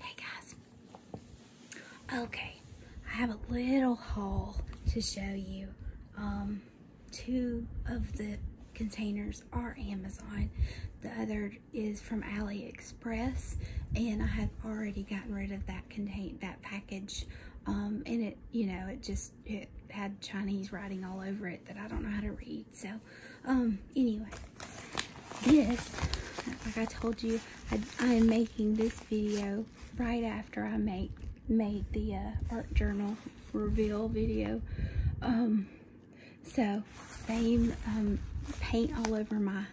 Hey guys. Okay, I have a little haul to show you. Um, two of the containers are Amazon. The other is from AliExpress, and I have already gotten rid of that contain that package. Um, and it, you know, it just it had Chinese writing all over it that I don't know how to read. So, um, anyway, this, like I told you, I, am making this video right after I make made the uh, art journal reveal video. Um, so same um, paint all over my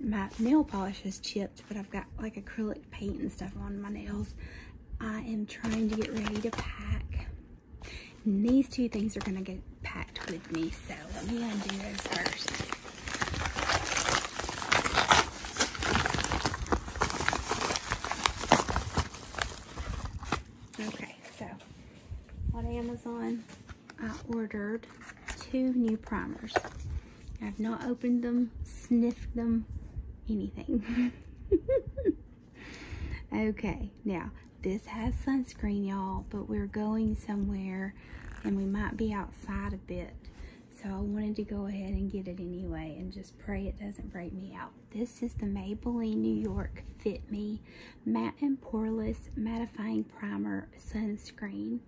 my nail polish is chipped, but I've got like acrylic paint and stuff on my nails. I am trying to get ready to pack and these two things are gonna get packed with me, so let me undo those first. Okay, so on Amazon, I ordered two new primers. I've not opened them, sniffed them, anything. okay, now this has sunscreen, y'all, but we're going somewhere and we might be outside a bit. So I wanted to go ahead and get it anyway and just pray it doesn't break me out. This is the Maybelline New York Fit Me Matte and Poreless Mattifying Primer Sunscreen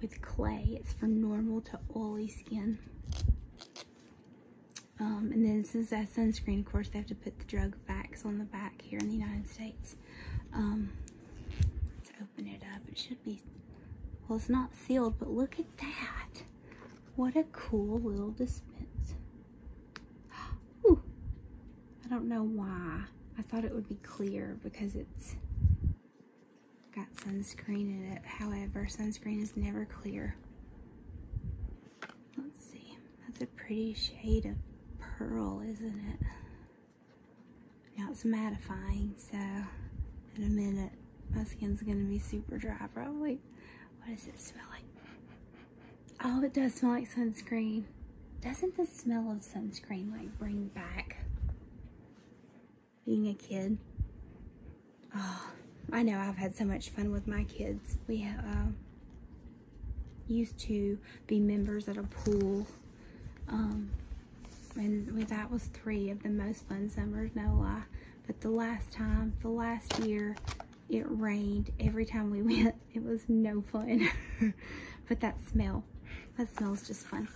with clay. It's for normal to oily skin. Um, and then since that sunscreen, of course, they have to put the drug facts on the back here in the United States. Um, let's open it up. It should be, well, it's not sealed, but look at that. What a cool little dispenser. I don't know why. I thought it would be clear because it's got sunscreen in it. However, sunscreen is never clear. Let's see. That's a pretty shade of pearl, isn't it? Now it's mattifying, so in a minute my skin's gonna be super dry probably. What does it smell like? Oh, it does smell like sunscreen. Doesn't the smell of sunscreen like bring back being a kid? Oh, I know I've had so much fun with my kids. We have, uh, used to be members at a pool. and um, that was three of the most fun summers, no lie. But the last time, the last year, it rained every time we went. It was no fun. but that smell, that smells just fun.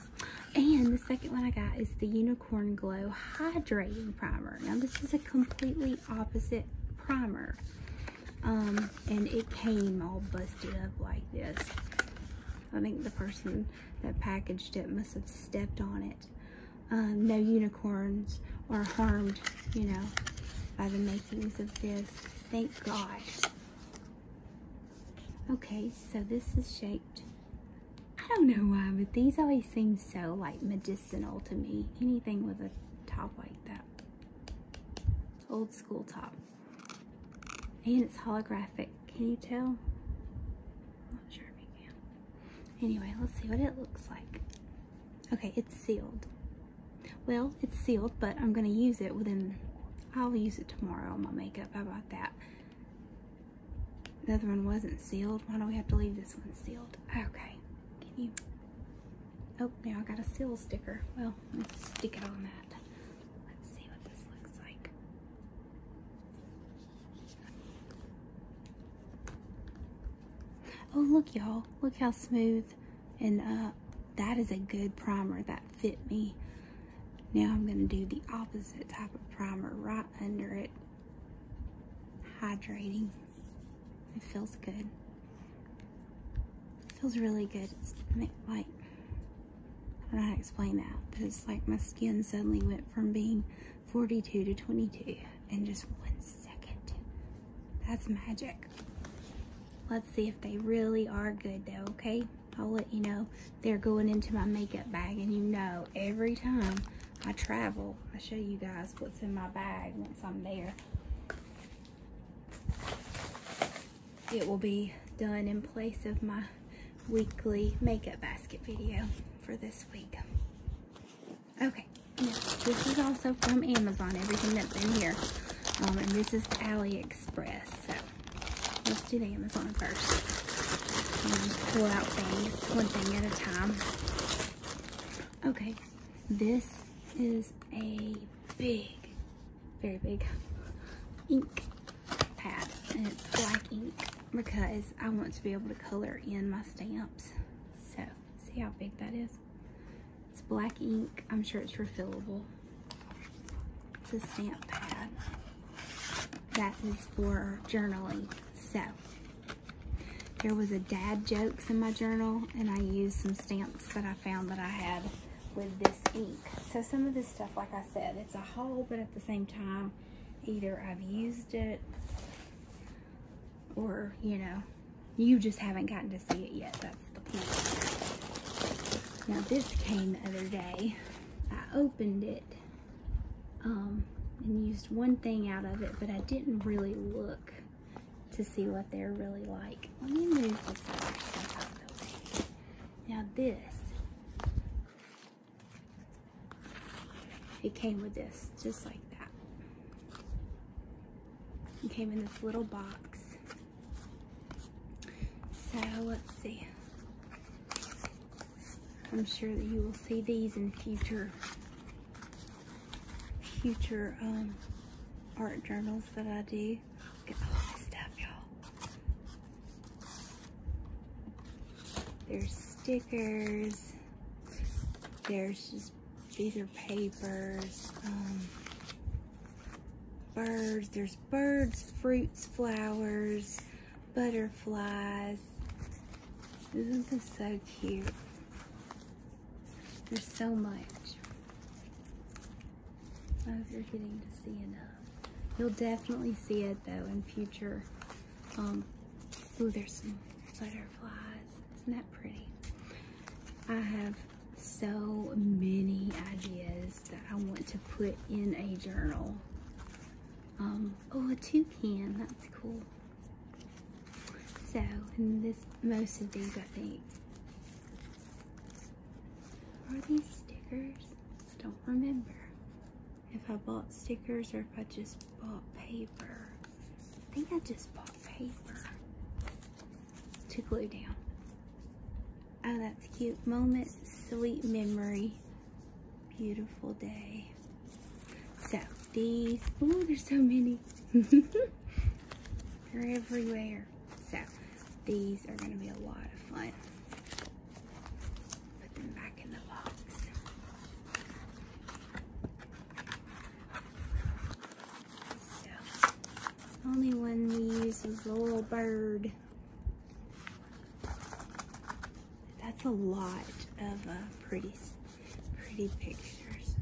And the second one I got is the Unicorn Glow Hydrating Primer. Now this is a completely opposite primer. Um, and it came all busted up like this. I think the person that packaged it must have stepped on it. Um, no unicorns are harmed, you know, by the makings of this. Thank God. Okay, so this is shaped. I don't know why, but these always seem so like medicinal to me. Anything with a top like that. It's old school top. And it's holographic. Can you tell? not sure if you can. Anyway, let's see what it looks like. Okay, it's sealed. Well, it's sealed, but I'm going to use it within... I'll use it tomorrow on my makeup. How about that? The other one wasn't sealed. Why do we have to leave this one sealed? Okay. Can you... Oh, now I got a seal sticker. Well, let's stick it on that. Let's see what this looks like. Oh, look, y'all. Look how smooth. And uh, that is a good primer that fit me. Now I'm going to do the opposite type of primer right under it. Hydrating. It feels good. It feels really good. It's like, I don't know how to explain that, but it's like my skin suddenly went from being 42 to 22 in just one second. That's magic. Let's see if they really are good though, okay? I'll let you know they're going into my makeup bag and you know every time I travel, I show you guys what's in my bag once I'm there it will be done in place of my weekly makeup basket video for this week. Okay, this is also from Amazon, everything that's in here. Um, and this is AliExpress, so let's do the Amazon first. Um, pull out things one thing at a time. Okay, this is a big, very big ink pad and it's black ink because I want to be able to color in my stamps. So see how big that is? It's black ink. I'm sure it's refillable. It's a stamp pad that is for journaling. So there was a dad jokes in my journal and I used some stamps. But I found that I had with this ink. So some of this stuff, like I said, it's a hole, but at the same time, either I've used it or, you know, you just haven't gotten to see it yet. That's the point. Now this came the other day. I opened it um, and used one thing out of it, but I didn't really look to see what they're really like. Let me move this out of the way. Now this, it came with this, just like that. came in this little box. So let's see. I'm sure that you will see these in future future um, art journals that I do. There's stickers. There's just, these are papers. Um, birds. There's birds, fruits, flowers, butterflies. Isn't this so cute? There's so much. I hope you're getting to see enough. You'll definitely see it though in future. Um, oh, there's some butterflies. Isn't that pretty? I have so many ideas that I want to put in a journal. Um, oh, a toucan. That's cool. So, and this, most of these, I think, are these stickers? I don't remember if I bought stickers or if I just bought paper. I think I just bought paper to glue down. Oh, that's cute. Moment, sweet memory, beautiful day. So, these, oh, there's so many. They're everywhere. So these are going to be a lot of fun. Put them back in the box. So only one These used was little bird. That's a lot of uh, pretty, pretty pictures.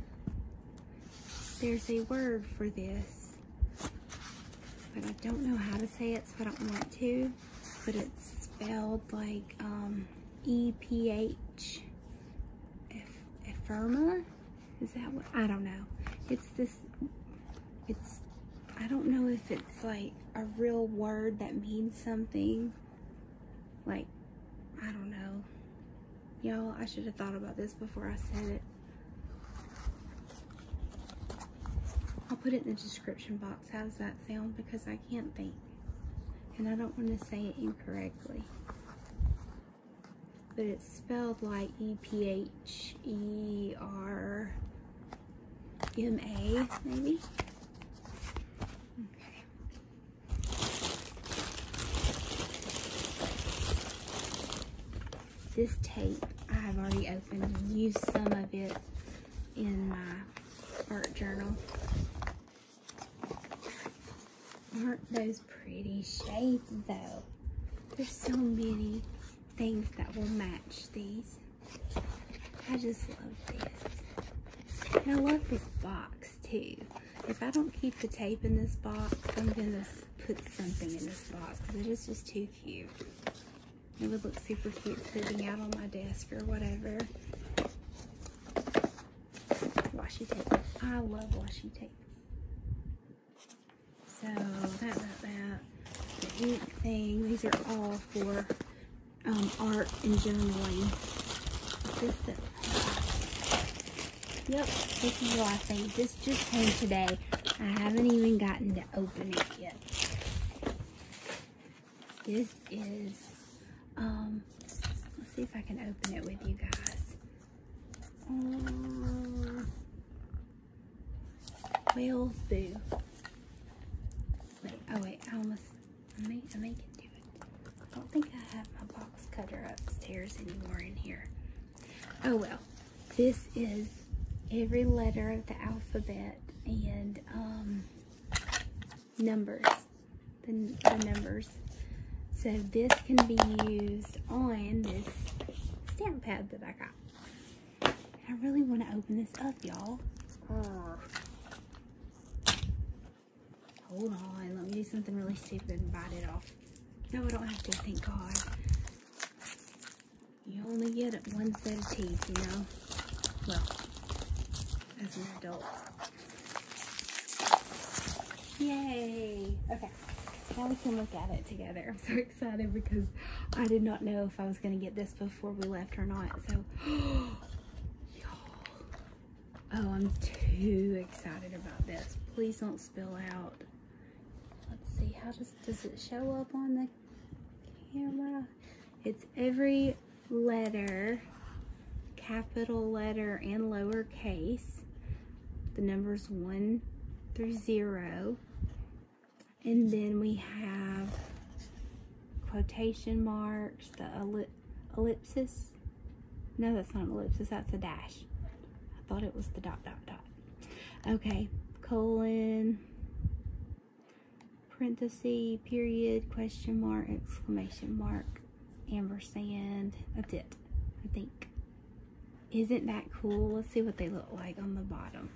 There's a word for this, but I don't know how to say it, so I don't want to. But it's spelled like um, E P H Epherma. Is that what? I don't know. It's this. It's. I don't know if it's like a real word that means something. Like I don't know. Y'all, I should have thought about this before I said it. I'll put it in the description box. How does that sound? Because I can't think. And I don't want to say it incorrectly. But it's spelled like E-P-H-E-R-M-A, maybe? Okay. This tape, I have already opened and used some of it in my art journal. Aren't those pretty shapes? though? There's so many things that will match these. I just love this. I love this box too if I don't keep the tape in this box, I'm gonna put something in this box because it is just too cute. It would look super cute sitting out on my desk or whatever. Washi tape. I love washi tape. So that, that, that. The ink thing. These are all for um, art and journaling. Just the Yep, this is what I think. This just came today. I haven't even gotten to open it yet. This is, um, let's see if I can open it with you guys. Um, will do. Wait, oh wait, I almost, I may, I may can do it. I don't think I have my box cutter upstairs anymore in here. Oh well, this is every letter of the alphabet and um, numbers, the numbers. So this can be used on this stamp pad that I got. I really want to open this up, y'all. Hold on, let me do something really stupid and bite it off. No, I don't have to, thank God. You only get one set of teeth, you know? Well, as an adult. Yay! Okay, now we can look at it together. I'm so excited because I did not know if I was going to get this before we left or not. So, oh, I'm too excited about this. Please don't spill out. Let's see, how does, does it show up on the camera? It's every letter, capital letter and lowercase. The numbers one through zero. And then we have quotation marks, the ellipsis. No, that's not an ellipsis, that's a dash. I thought it was the dot, dot, dot. Okay, colon, parenthesis, period, question mark, exclamation mark, ampersand. That's it, I think. Isn't that cool? Let's see what they look like on the bottom.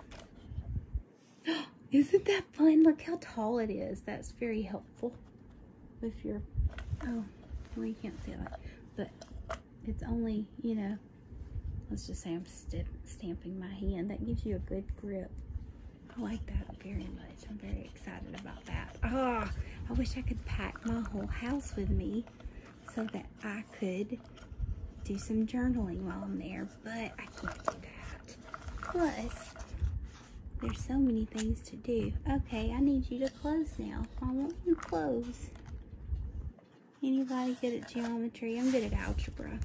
Isn't that fun? Look how tall it is. That's very helpful. If you're, oh, well can't see that, but it's only, you know, let's just say I'm stamping my hand. That gives you a good grip. I like that very much. I'm very excited about that. Ah, oh, I wish I could pack my whole house with me so that I could do some journaling while I'm there, but I can't do that. Plus, there's so many things to do. Okay, I need you to close now. I want you to close. Anybody good at geometry? I'm good at algebra.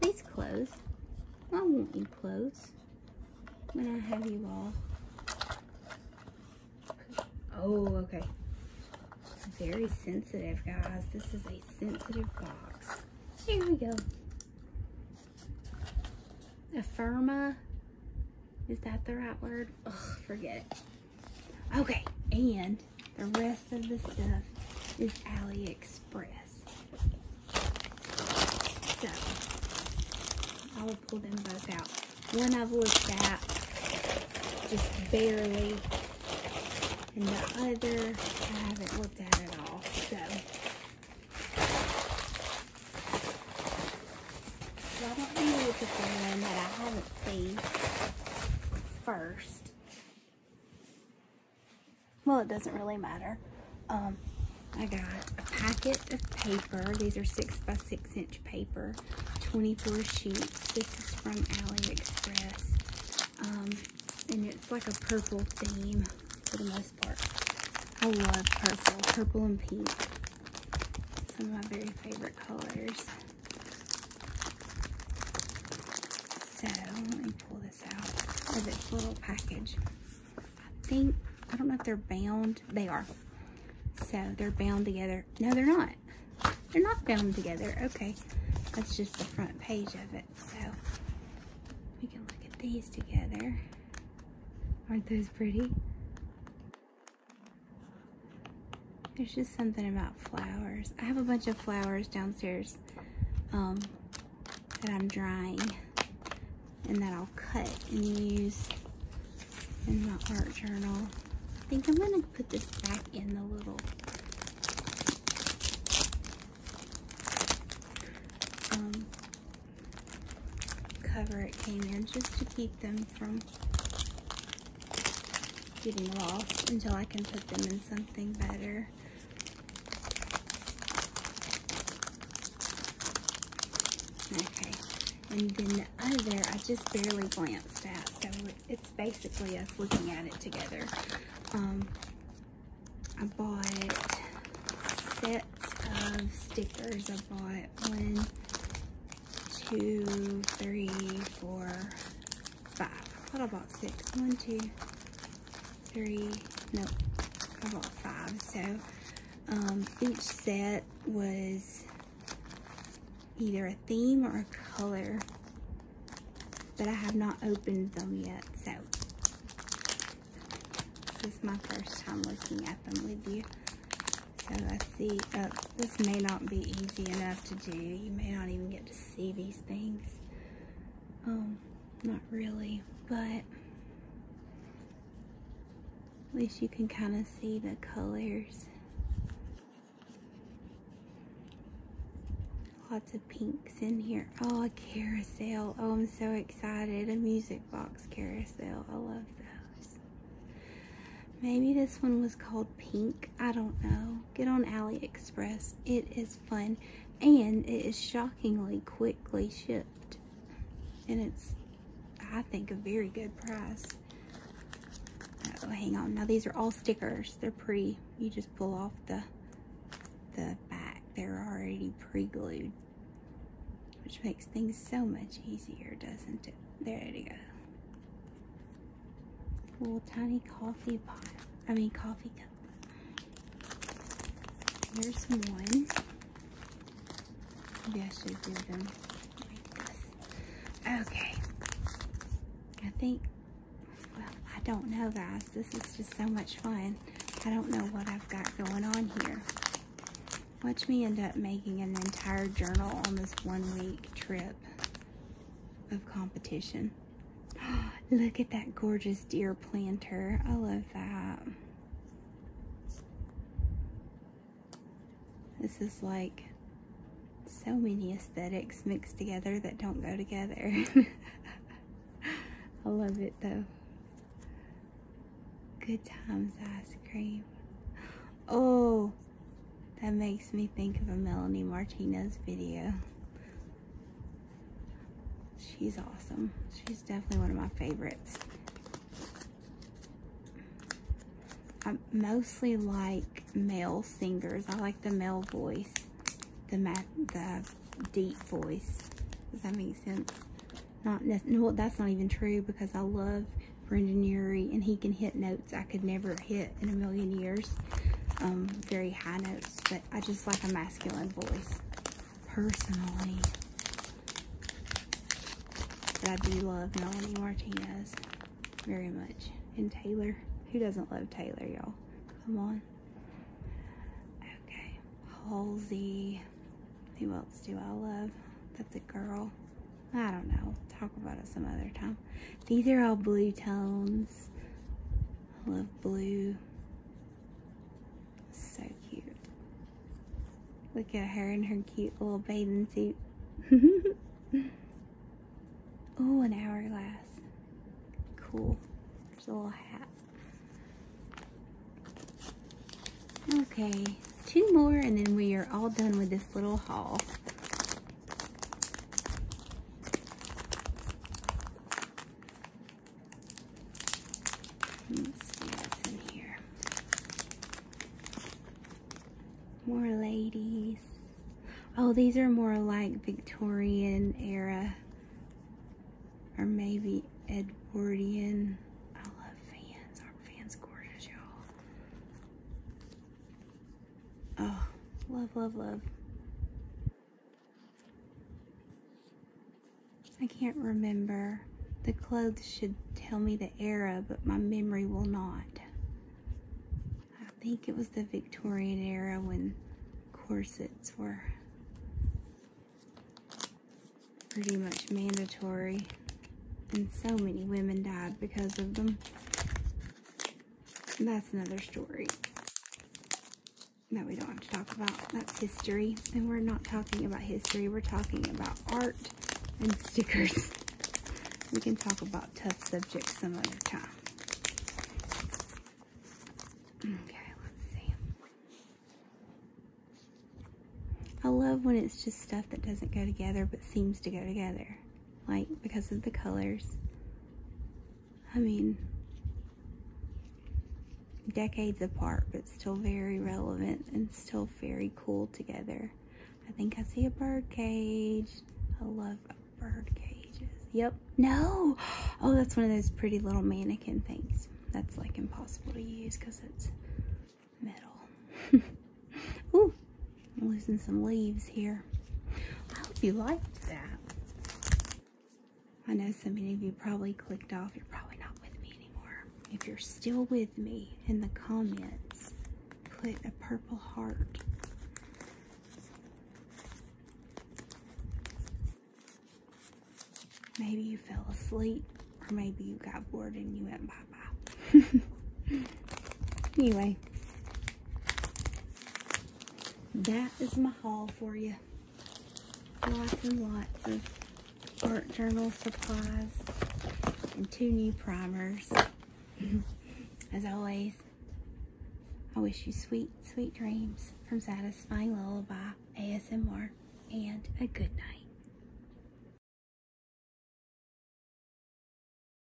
Please close. I want you close when I have you all. Oh, okay. very sensitive, guys. This is a sensitive box. Here we go. Affirma. Is that the right word? Ugh, forget it. Okay, and the rest of the stuff is AliExpress. So, I will pull them both out. One of them looked that, just barely, and the other I haven't looked at at all. So, so don't know if it's the one that I haven't seen first. Well, it doesn't really matter. Um, I got a packet of paper. These are six by six inch paper, 24 sheets. This is from AliExpress. Um, and it's like a purple theme for the most part. I love purple, purple and pink. Some of my very favorite colors. So let me pull this out because it's little package. I think, I don't know if they're bound. They are. So they're bound together. No, they're not. They're not bound together. Okay. That's just the front page of it. So we can look at these together. Aren't those pretty? There's just something about flowers. I have a bunch of flowers downstairs um, that I'm drying and that I'll cut and use in my art journal. I think I'm going to put this back in the little um, cover it came in just to keep them from getting lost until I can put them in something better. Okay, and then the other I just barely glanced at, so it's basically us looking at it together. Um, I bought sets of stickers. I bought one, two, three, four, five. What about six? One, two, three, no, I bought five. So um, each set was either a theme or a color, but I have not opened them yet. So this is my first time looking at them with you. So let's see, uh, this may not be easy enough to do. You may not even get to see these things. Um, not really, but at least you can kind of see the colors. Lots of pinks in here. Oh, a carousel. Oh, I'm so excited. A music box carousel. I love those. Maybe this one was called pink. I don't know. Get on AliExpress. It is fun and it is shockingly quickly shipped. And it's, I think, a very good price. Oh, hang on. Now these are all stickers. They're pretty. You just pull off the, the back. They're already pre-glued which makes things so much easier, doesn't it? There you go. Little tiny coffee pot. I mean coffee cup. Here's one. Maybe I should do them Okay. I think, well, I don't know guys. This is just so much fun. I don't know what I've got going on here. Watch me end up making an entire journal on this one week trip of competition. Look at that gorgeous deer planter. I love that. This is like so many aesthetics mixed together that don't go together. I love it though. Good times ice cream. Oh, that makes me think of a Melanie Martinez video. She's awesome. She's definitely one of my favorites. I mostly like male singers. I like the male voice, the deep voice. Does that make sense? Not well, that's not even true because I love for engineering and he can hit notes I could never hit in a million years. Um, very high notes, but I just like a masculine voice personally. I do love Melanie Martinez very much. And Taylor. Who doesn't love Taylor, y'all? Come on. Okay. Halsey. Who else do I love? That's a girl. I don't know. Talk about it some other time. These are all blue tones. I love blue. So cute. Look at her in her cute little bathing suit. oh, an hourglass. Cool. There's a little hat. Okay, two more and then we are all done with this little haul. Let's see in here. More ladies. Oh, these are more like Victorian era. Or maybe Edwardian. I love fans. are fans gorgeous, y'all? Oh, love, love, love. I can't remember. The clothes should tell me the era, but my memory will not. I think it was the Victorian era when corsets were pretty much mandatory. And so many women died because of them that's another story that we don't have to talk about. That's history. And we're not talking about history. We're talking about art and stickers. we can talk about tough subjects some other time. Okay, let's see. I love when it's just stuff that doesn't go together but seems to go together like because of the colors. I mean, decades apart, but still very relevant and still very cool together. I think I see a bird cage. I love bird cages. Yep. No. Oh, that's one of those pretty little mannequin things. That's like impossible to use because it's metal. Ooh, I'm losing some leaves here. I hope you liked that. I know so many of you probably clicked off. You're probably not with me anymore. If you're still with me in the comments, put a purple heart. Maybe you fell asleep, or maybe you got bored and you went bye-bye. anyway, that is my haul for you. Lots and lots of art journal supplies and two new primers. As always, I wish you sweet, sweet dreams from Satisfying Lullaby ASMR and a good night.